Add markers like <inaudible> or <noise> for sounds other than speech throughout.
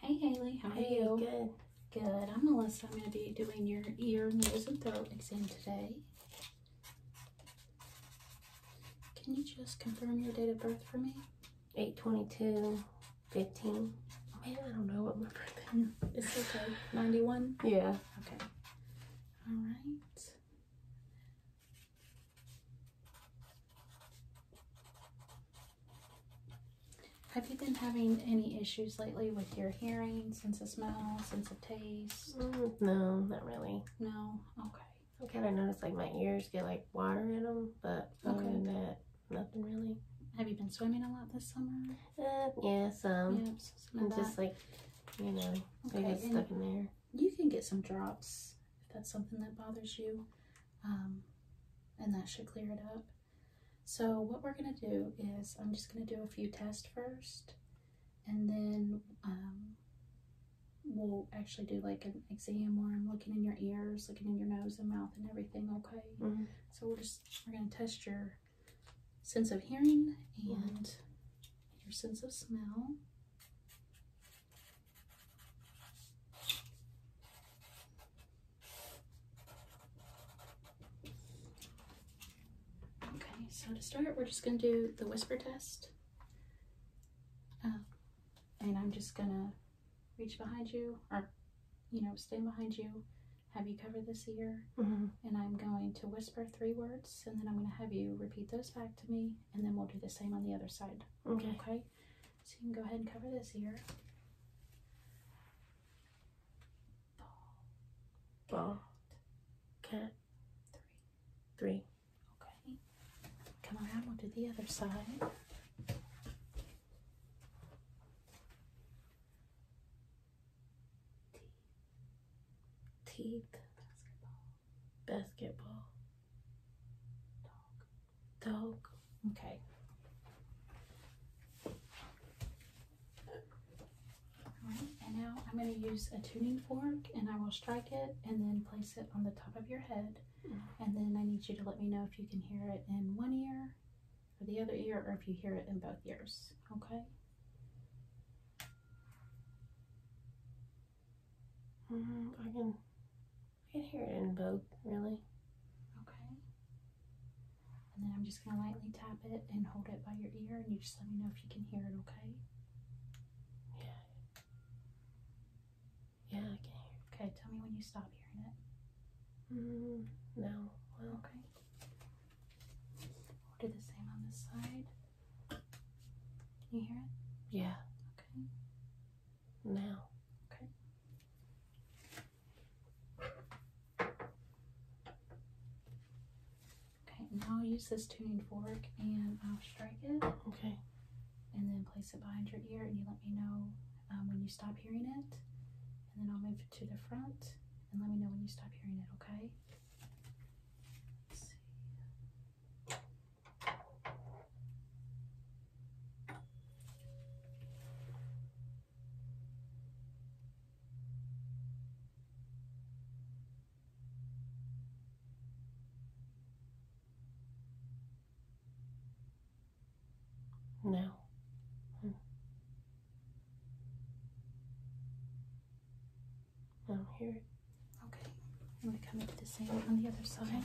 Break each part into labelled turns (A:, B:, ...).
A: Hey Haley, how are you? Good. Good. I'm Melissa. I'm going to be doing your ear, nose, and throat exam today. Can you just confirm your date of birth for me? 822 15. I don't know what my birthday is. Mm, okay. 91? Yeah. Okay. All right. Have you been having any issues lately with your hearing, sense of smell, sense of taste? Mm, no, not really. No? Okay. I kind of notice like my ears get like water in them, but other than that, nothing really. Have you been swimming a lot this summer? Uh, yeah, some. and just like, you know, they get stuck in there. You can get some drops if that's something that bothers you. Um, and that should clear it up. So what we're going to do is I'm just going to do a few tests first and then um, we'll actually do like an exam where I'm looking in your ears, looking in your nose and mouth and everything, okay? Mm-hmm. So we are just, we're going to test your sense of hearing and mm-hmm. your sense of smell. Okay, so to start, we're just going to do the whisper test. Um, and I'm just going to reach behind you or, you know, stand behind you, have you cover this ear, mm-hmm. and I'm going to whisper three words, and then I'm going to have you repeat those back to me, and then we'll do the same on the other side. okay? So you can go ahead and cover this here. Ball. Cat. Three. Three. Okay. Come around, we'll do the other side. Teeth. Basketball. Basketball. Dog. Okay. Alright, and now I'm going to use a tuning fork and I will strike it and then place it on the top of your head. Mm. And then I need you to let me know if you can hear it in one ear or the other ear or if you hear it in both ears. Okay? Mm, I can I can hear it in both, really. Okay. And then I'm just going to lightly tap it and hold it by your ear, and you just let me know if you can hear it, okay? Yeah. Yeah, I can hear it. Okay, tell me when you stop hearing it. Mm-hmm. no. okay. do the same on this side. Can you hear it? Yeah. Okay now. Okay. Okay, now I'll use this tuning fork and I'll uh, strike it. Okay. And then place it behind your ear and you let me know um, when you stop hearing it. And then I'll move it to the front and let me know when you stop hearing it, okay? Now. Hmm. Now here. Okay. I'm going to the same on the other side.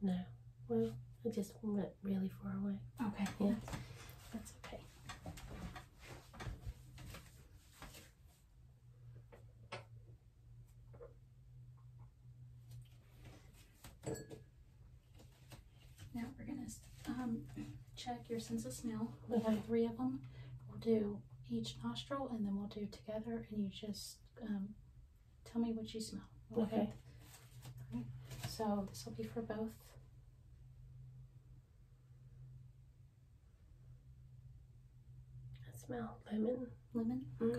A: No. Well, I just went really far away. Okay. Yeah. That's okay. Now we're gonna um, check your sense of smell. we have three of them. We'll do each nostril, and then we'll do together, and you just um, Tell me what you smell. Okay. So this will be for both. I smell lemon. Lemon? Mm. Okay.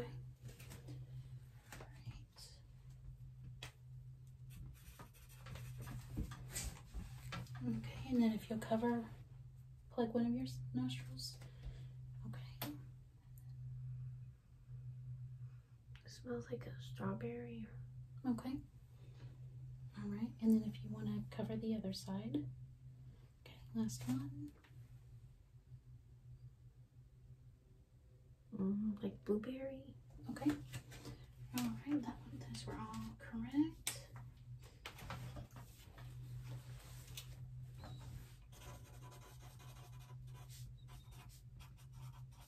A: Right. Okay, and then if you cover, plug one of your nostrils. Okay smells like a strawberry. Okay. All right, and then if you want to cover the other side. Okay, last one. Mm-hmm, like blueberry. Okay. All right, that one, those were all correct.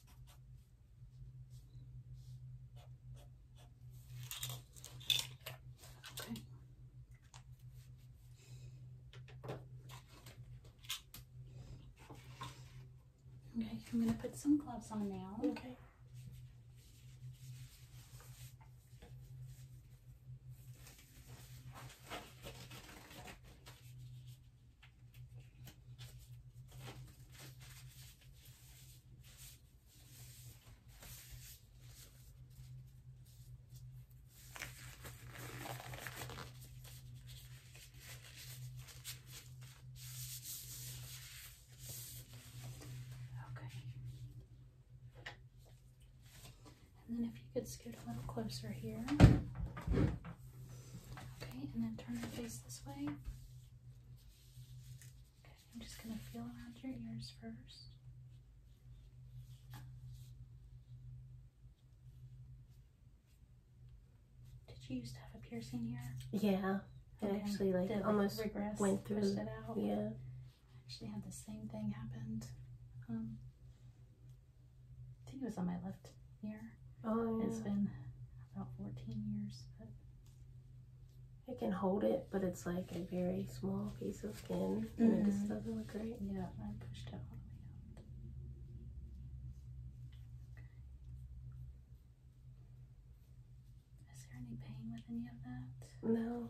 A: Okay. Okay, I'm going to put some gloves on now. Okay. Okay. And then if you could scoot a little closer here. Okay, and then turn your face this way. I'm just going to feel around your ears first. Did you used to have a piercing here? Yeah.
B: Okay. It actually like Did almost went through. Yeah. I
A: actually had the same thing happened. Um, I think it was on my left ear. Oh, yeah. It's been about 14 years. It can hold it, but it's like a very small piece of skin, and it just mm-hmm. doesn't look great. Yeah, I pushed it all the way out. Is there any pain with any of that? No.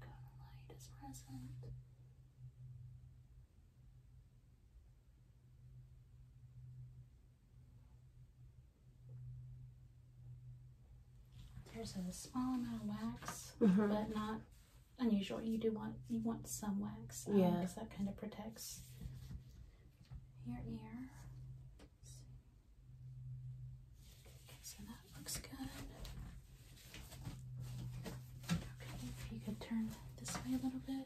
A: Cone light is present. There's a small amount of wax, mm-hmm. but not unusual. You do want you want some wax, um, yeah, because that kind of protects your ear. so that looks good. Okay, if you could turn this way a little bit.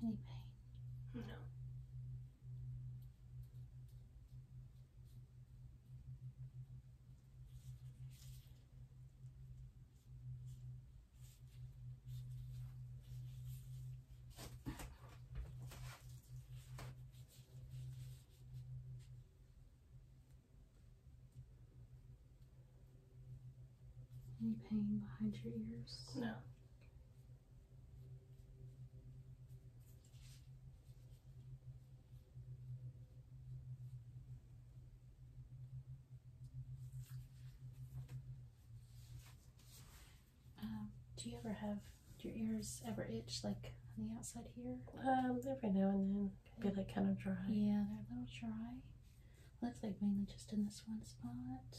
A: Any pain? No. <clears throat> Any pain behind your ears? No. Um, do you ever have your ears ever itch like on the outside here? Um, every now and then. be like kind of dry. Yeah, they're a little dry. Looks like mainly just in this one spot.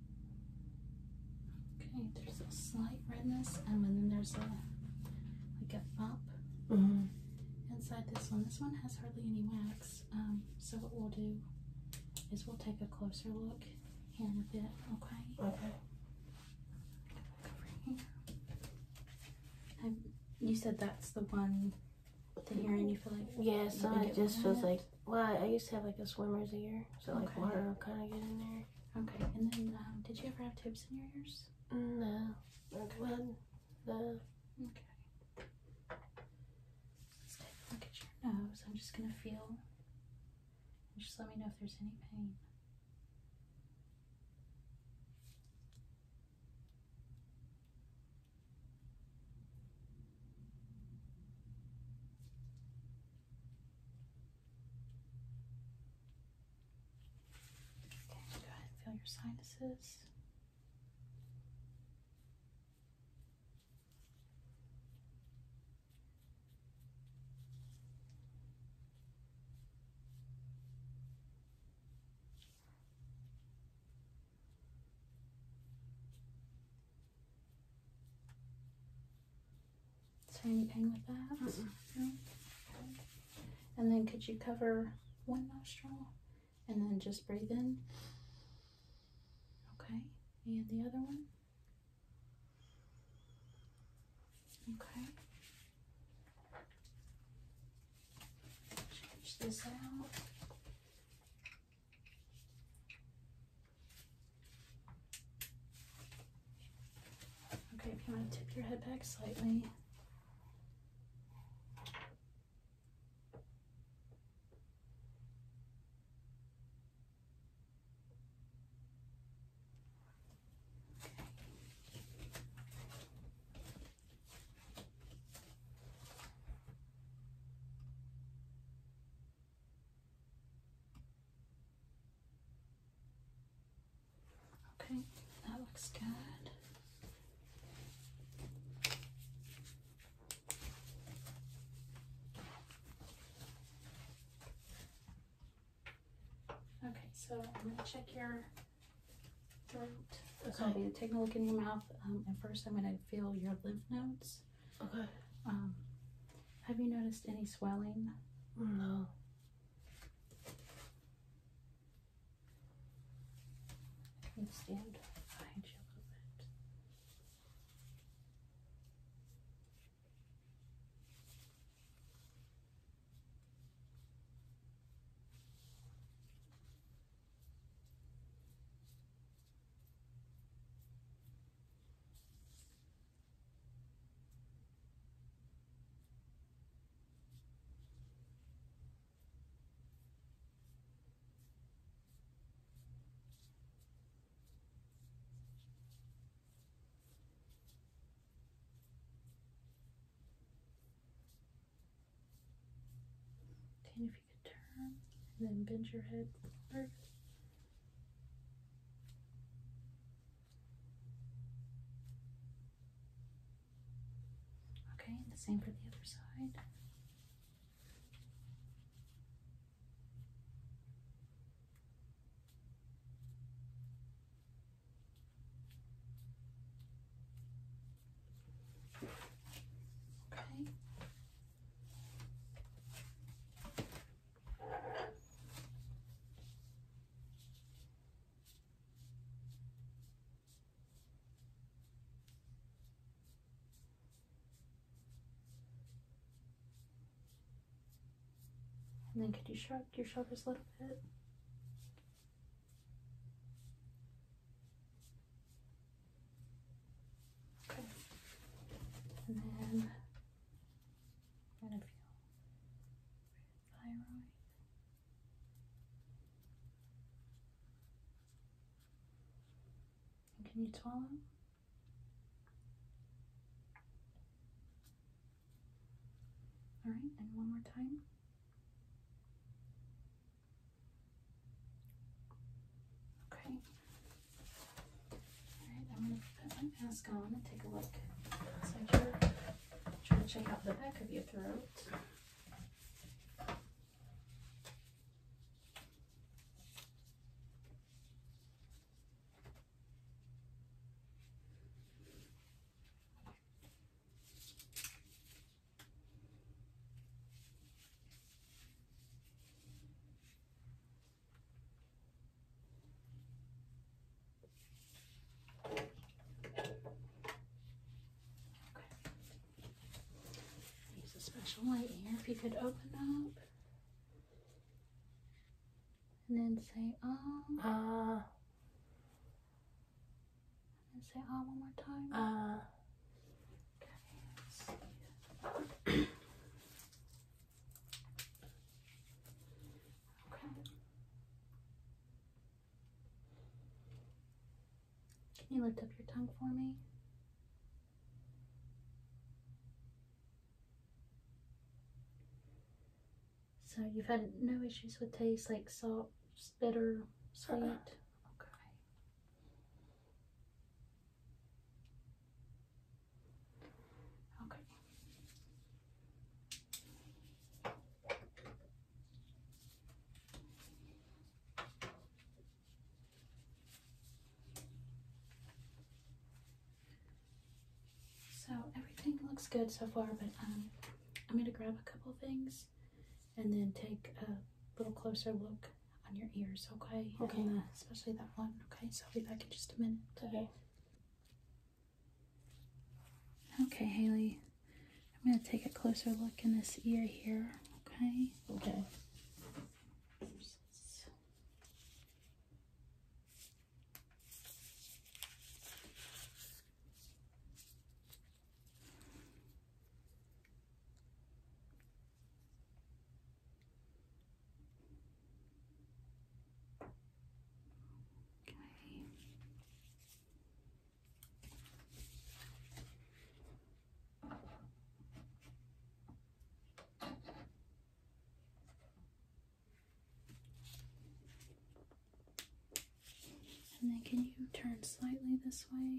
A: Okay, there's a slight redness, and then there's a like a bump mm-hmm. inside this one. This one has hardly any wax. Um, so what we'll do is we'll take a closer look here in a bit. Okay. Okay. you said that's the one. The hair, and you feel like yes, yeah, so it just feels like well, I used to have like a swimmer's ear, so like water will kind of get in there. Okay, and then um, did you ever have tubes in your ears? No. Okay. Let's take a look at your nose. I'm just gonna feel. just let me know if there's any pain go ahead and feel your sinuses. Is there anything with that? And then could you cover one nostril and then just breathe in? Okay. And the other one? Okay. Change this out. Okay, if you want to tip your head back slightly. Okay, that looks good. Okay, so I'm going to check your throat. Okay. So I'll be taking a look in your mouth, um, and first I'm going to feel your lymph nodes. Okay. Um, have you noticed any swelling? No if you could turn and then bend your head. Perfect. Okay, the same for the other side. Okay. And then could you shrug your shoulders a little bit? Okay. And then I'm feel thyroid. can you swallow? All right, and one more time. Okay, Alright, I'm going to put my mask on and take a look inside your try to check out the back of your throat. Use a special light here if you could open up. And then say ah. Ah. Uh, and say ah one more time. Ah. Okay. you lift up your tongue for me? So you've had no issues with taste, like salt, bitter, uh-uh. sweet? Okay. Okay. So everything looks good so far, but um, I'm going to grab a couple things and then take a little closer look on your ears, okay? Okay. Uh, especially that one, okay? So I'll be back in just a minute. Okay. Okay, Haley. I'm going to take a closer look in this ear here, okay? Okay. Okay. And then can you turn slightly this way?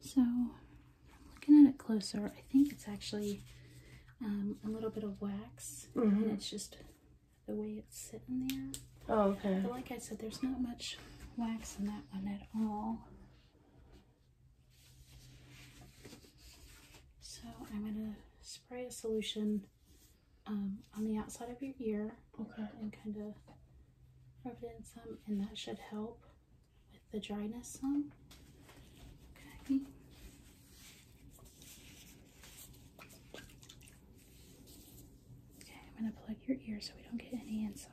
A: So, looking at it closer, I think it's actually um, a little bit of wax, mm-hmm. and it's just the way it's sitting there. Oh, okay. But like I said, there's not much wax in that one at all. So I'm going to spray a solution um, on the outside of your ear. Okay. And kind of rub it in some, and that should help with the dryness on. Okay, I'm going to plug your ear so we don't get any inside.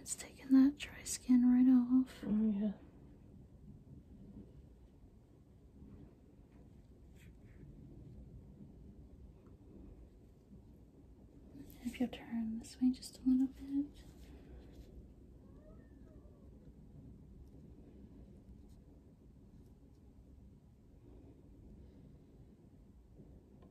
A: it's taking that dry skin right off. Oh, yeah. If you turn this way just a little bit.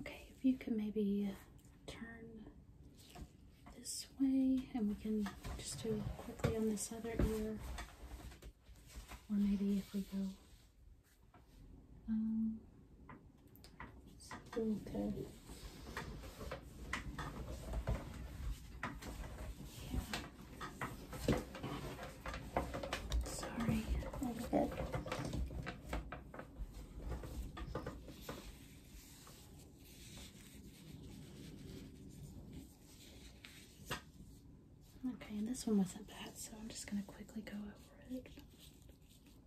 A: Okay, if you can maybe uh, turn this way and we can just do quickly on this other ear. Or maybe if we go um, Okay. Sorry, i Okay, and this one wasn't bad, so I'm just going to quickly go over it.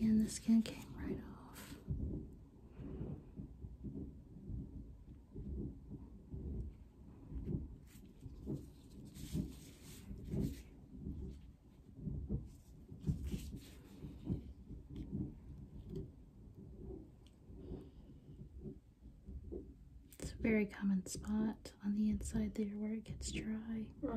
A: And the skin came right off. It's a very common spot on the inside there where it gets dry. Uh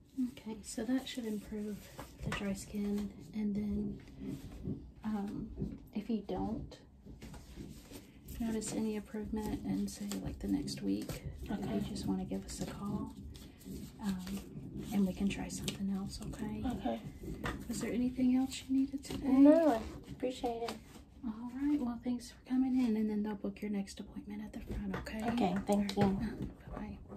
A: Okay, so that should improve the dry skin. And then um, if you don't notice any improvement and say, like the next week, okay. you just want to give us a call um, and we can try something else, okay? Okay. Was there anything else you needed today? No, appreciate it. All right, well, thanks for coming in, and then they'll book your next appointment at the front, okay? Okay, thank you. Bye-bye.